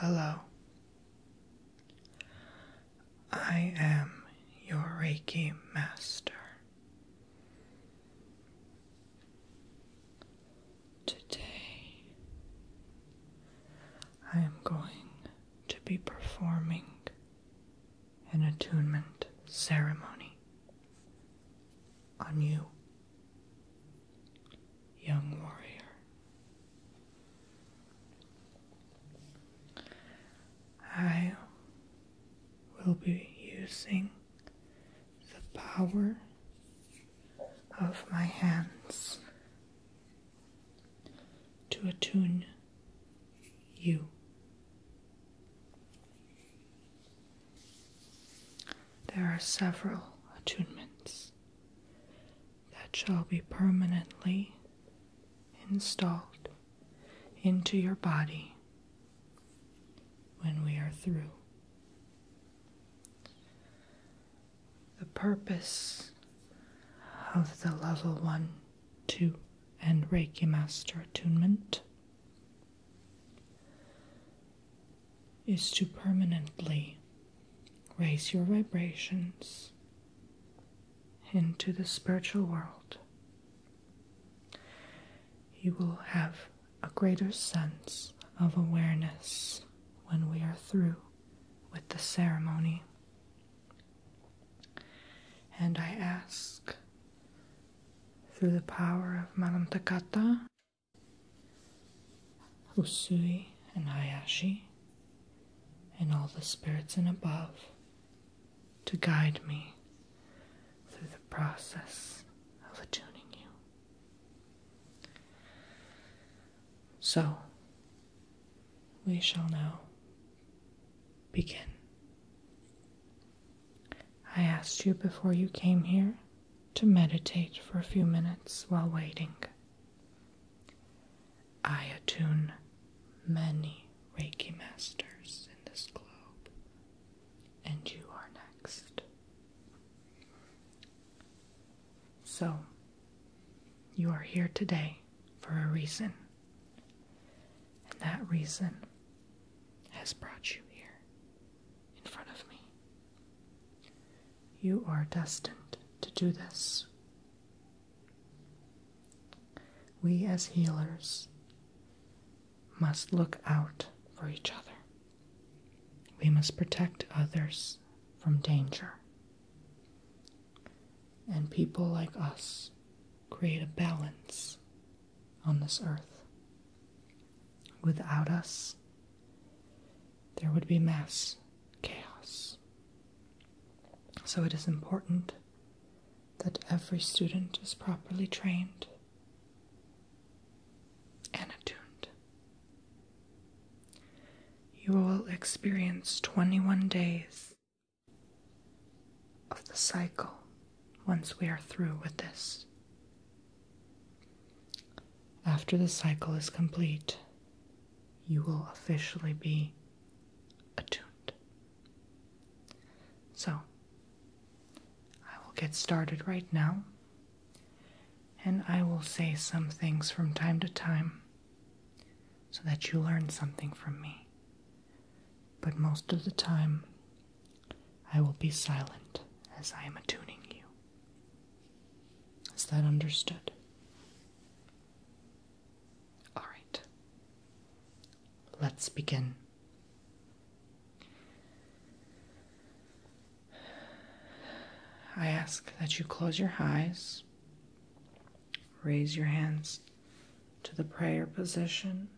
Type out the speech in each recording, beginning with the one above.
Hello. I am your Reiki master. Today, I am going to be performing an attunement ceremony on you, young warrior. I will be using the power of my hands to attune you. There are several attunements that shall be permanently installed into your body when we are through. The purpose of the level 1, 2, and Reiki Master attunement is to permanently raise your vibrations into the spiritual world. You will have a greater sense of awareness when we are through with the ceremony. And I ask through the power of Takata, Usui, and Hayashi, and all the spirits and above to guide me through the process of attuning you. So, we shall now begin. I asked you before you came here to meditate for a few minutes while waiting. I attune many Reiki masters in this globe, and you are next. So, you are here today for a reason, and that reason has brought you here in front of me. You are destined to do this. We as healers must look out for each other. We must protect others from danger. And people like us create a balance on this earth. Without us, there would be mass chaos. So it is important that every student is properly trained and attuned. You will experience 21 days of the cycle once we are through with this. After the cycle is complete, you will officially be attuned. So, I will get started right now and I will say some things from time to time so that you learn something from me. But most of the time, I will be silent as I am attuning you. Is that understood? All right. Let's begin. I ask that you close your eyes, raise your hands to the prayer position,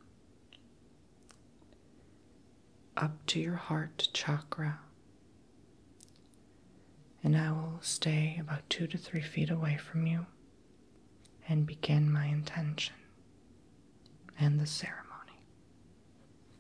up to your heart chakra, and I will stay about two to three feet away from you and begin my intention and the ceremony.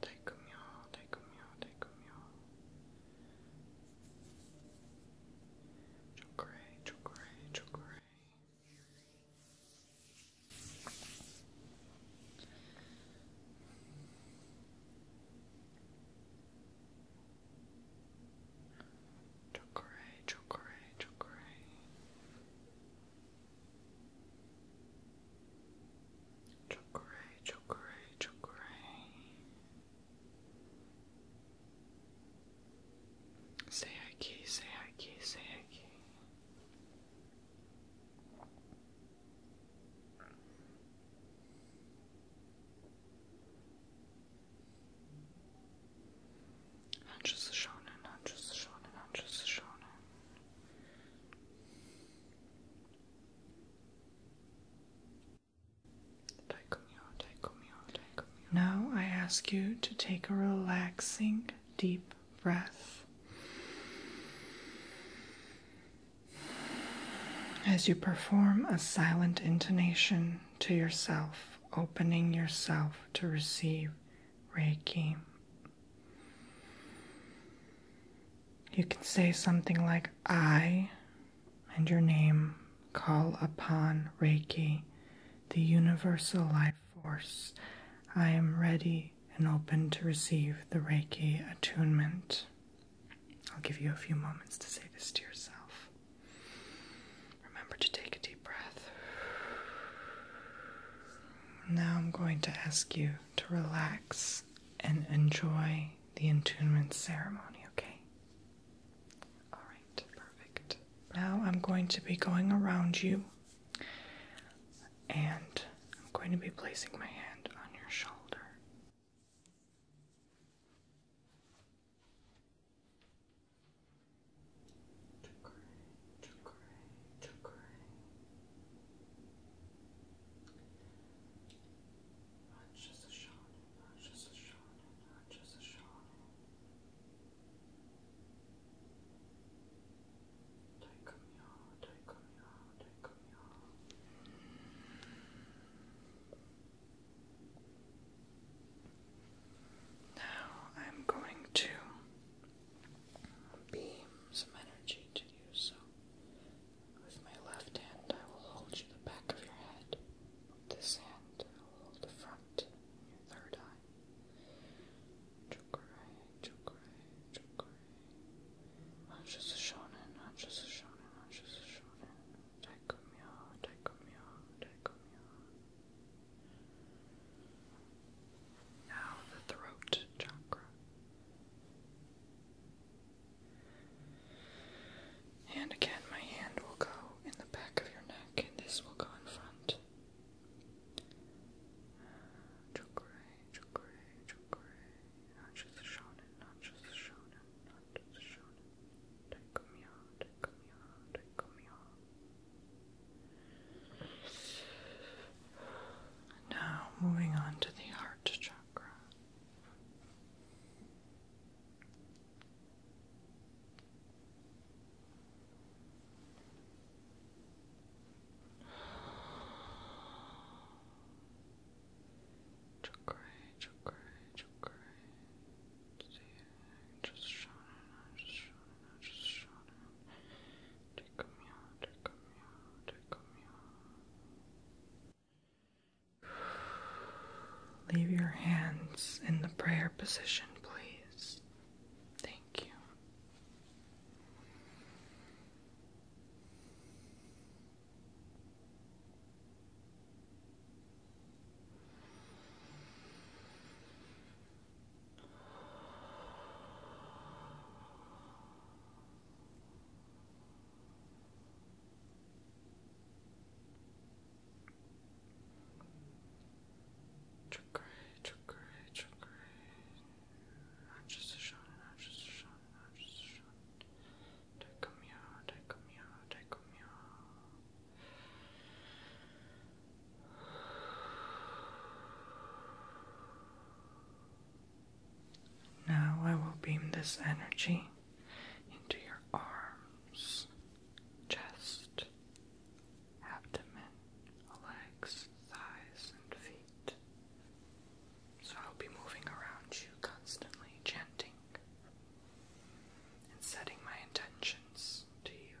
달콤요, 달콤요, 달콤요. 초콜릿, 초콜릿, 초콜릿. 초콜릿, 초콜릿, 초콜릿. Chokray, chokray, chokray. Say Ike, say Ike, say Ike. Not just the shonen, not just the shonen, not just the now I ask you to take a relaxing deep breath. As you perform a silent intonation to yourself, opening yourself to receive Reiki. You can say something like I and your name call upon Reiki, the universal life force. I am ready and open to receive the Reiki attunement. I'll give you a few moments to say this to yourself. Remember to take a deep breath. Now I'm going to ask you to relax and enjoy the entombment ceremony, okay? Alright, perfect. Now I'm going to be going around you and I'm going to be placing my hand on your shoulder. Chakray, chakray. Rajasashana, Rajasashana, Rajasashana. Daikamya, Daikamya, Daikamya. Now I'm going to beam some energy to you, so with my left hand I will hold you the back of your head. With this hand I will hold the front, your third eye. Chukure, chukure, chukure. Anshus shonen, anshus shonen, anshus shonen. Taikumyo, taikumyo, taikumyo. Now the throat chakra. And again, my hand will go in the back of your neck, and this will go in front. Chakra, chakra, chakra. Not just a shonen, not just a shonen, not just a shonen. Take me out, now, moving on to the heart chakra. Chakra, chakra, chakra. just shining, just shining, just shining. Leave your hands in the prayer position, please. Thank you. Chakray, chakray, chakray. Not just a shot, not just a shot, not just a shot. Take a meow, take a meow, take a meow. Now I will beam this energy into your arms, chest, abdomen, legs, thighs, and feet. So I'll be moving around you constantly, chanting and setting my intentions to you.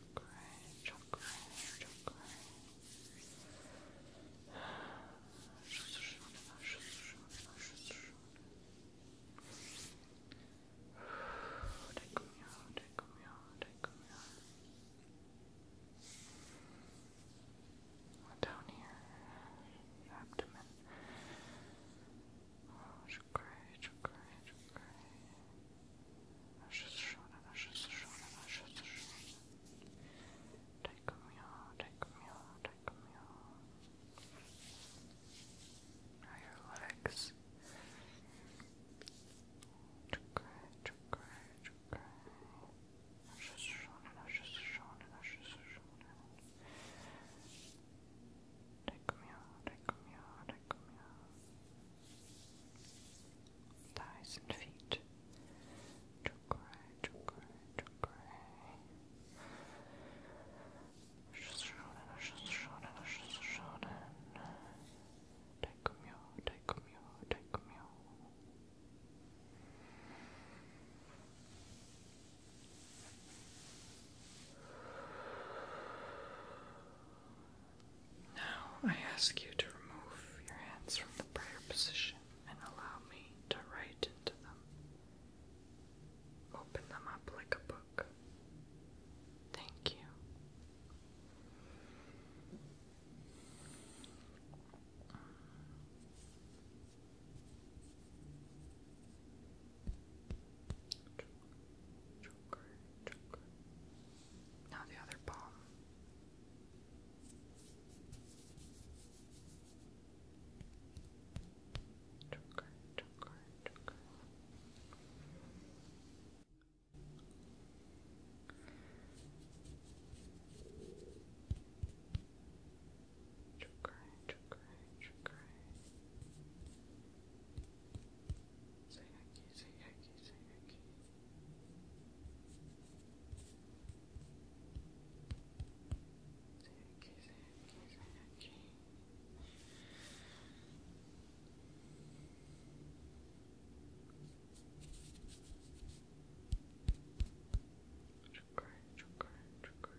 chakra, chakra, chakra. Take me out, take me out, take me Down here, abdomen. Oh, chakra, chakra, now your legs. Chukray, chukray, chukray. Ashashashana, ashashashana, ashashashana. Take me out, take me out, take me out thighs and feet. Chokrai, chokrai, chokrai. Shonen, shonen, shonen. Daikyo, daikyo, daikyo. Now I ask you to remove your hands from the prayer position and allow me to write into them. Open them up like a book. Thank you. Now the other ball. Chakra, chakra, chakra. Chakra, chakra, chakra. Sayaki, Sayaki, Sayaki. Sayaki, Sayaki, Sayaki. Chukar, chukar, chukar. Chukar, chukar, chukar.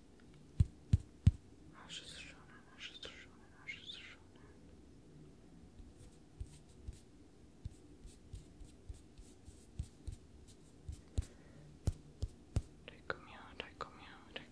Ash is Shonen, Ash is Shonen, Ash is Shonen. Take come here, take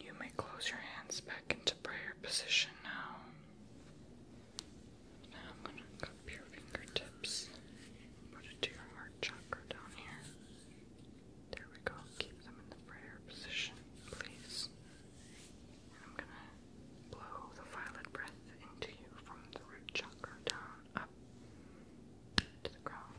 You may close your hands back into prayer position now. Now I'm going to cup your fingertips, put it to your heart chakra down here. There we go. Keep them in the prayer position, please. And I'm going to blow the violet breath into you from the root chakra down up to the ground.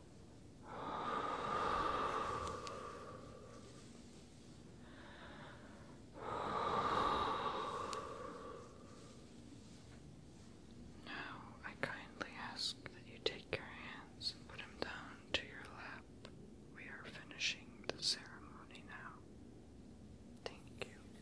Now I kindly ask that you take your hands and put them down to your lap. We are finishing the ceremony now. Thank you. Now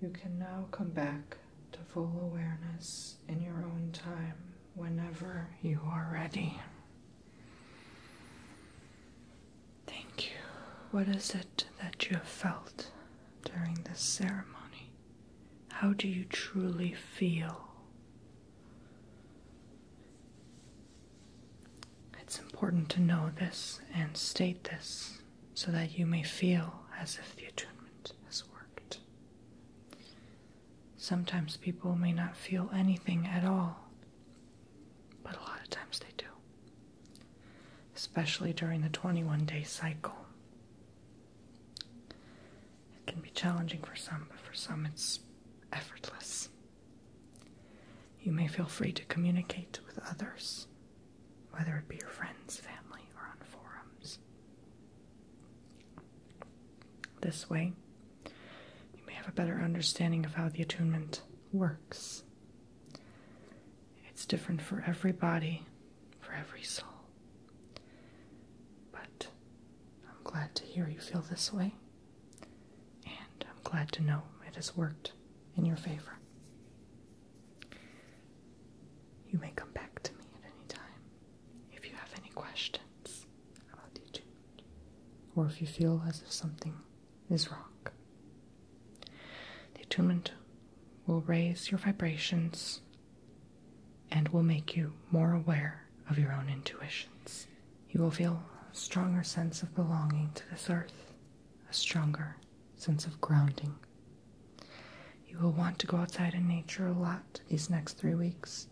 You can now come back to full awareness in your own time whenever you are ready. Thank you. What is it that you have felt during this ceremony? How do you truly feel? It's important to know this and state this so that you may feel as if the attunement has worked. Sometimes people may not feel anything at all, but a lot of times they do especially during the 21 day cycle. It can be challenging for some, but for some it's effortless. You may feel free to communicate with others, whether it be your friends, family, or on forums. This way, you may have a better understanding of how the attunement works it's different for everybody, for every soul. But I'm glad to hear you feel this way, and I'm glad to know it has worked in your favor. You may come back to me at any time if you have any questions about teaching, or if you feel as if something is rock. The attunement will raise your vibrations and will make you more aware of your own intuitions. You will feel a stronger sense of belonging to this earth, a stronger sense of grounding. You will want to go outside in nature a lot these next three weeks.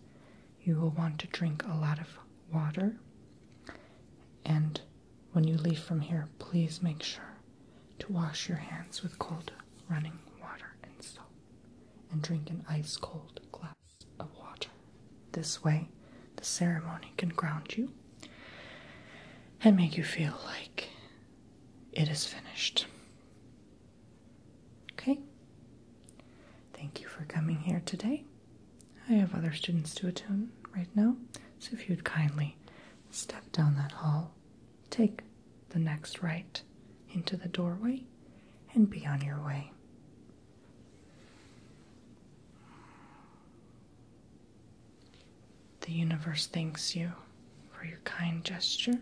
You will want to drink a lot of water and when you leave from here, please make sure to wash your hands with cold running water and soap and drink an ice cold glass of water. This way, the ceremony can ground you and make you feel like it is finished. Okay? Thank you for coming here today. I have other students to attend right now, so if you'd kindly Step down that hall, take the next right into the doorway, and be on your way. The universe thanks you for your kind gesture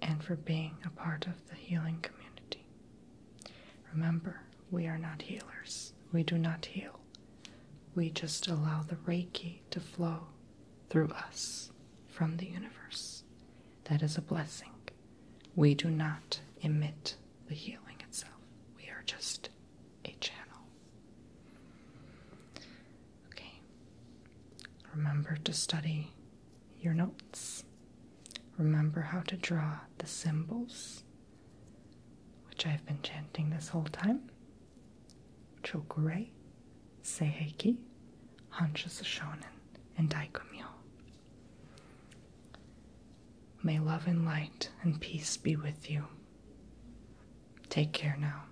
and for being a part of the healing community. Remember, we are not healers. We do not heal. We just allow the Reiki to flow through us from the universe. That is a blessing. We do not emit the healing itself, we are just a channel. Okay, remember to study your notes. Remember how to draw the symbols which I've been chanting this whole time. Chokurei, Seiheki, Hansha Shonen, and Daikumyo. May love and light and peace be with you. Take care now.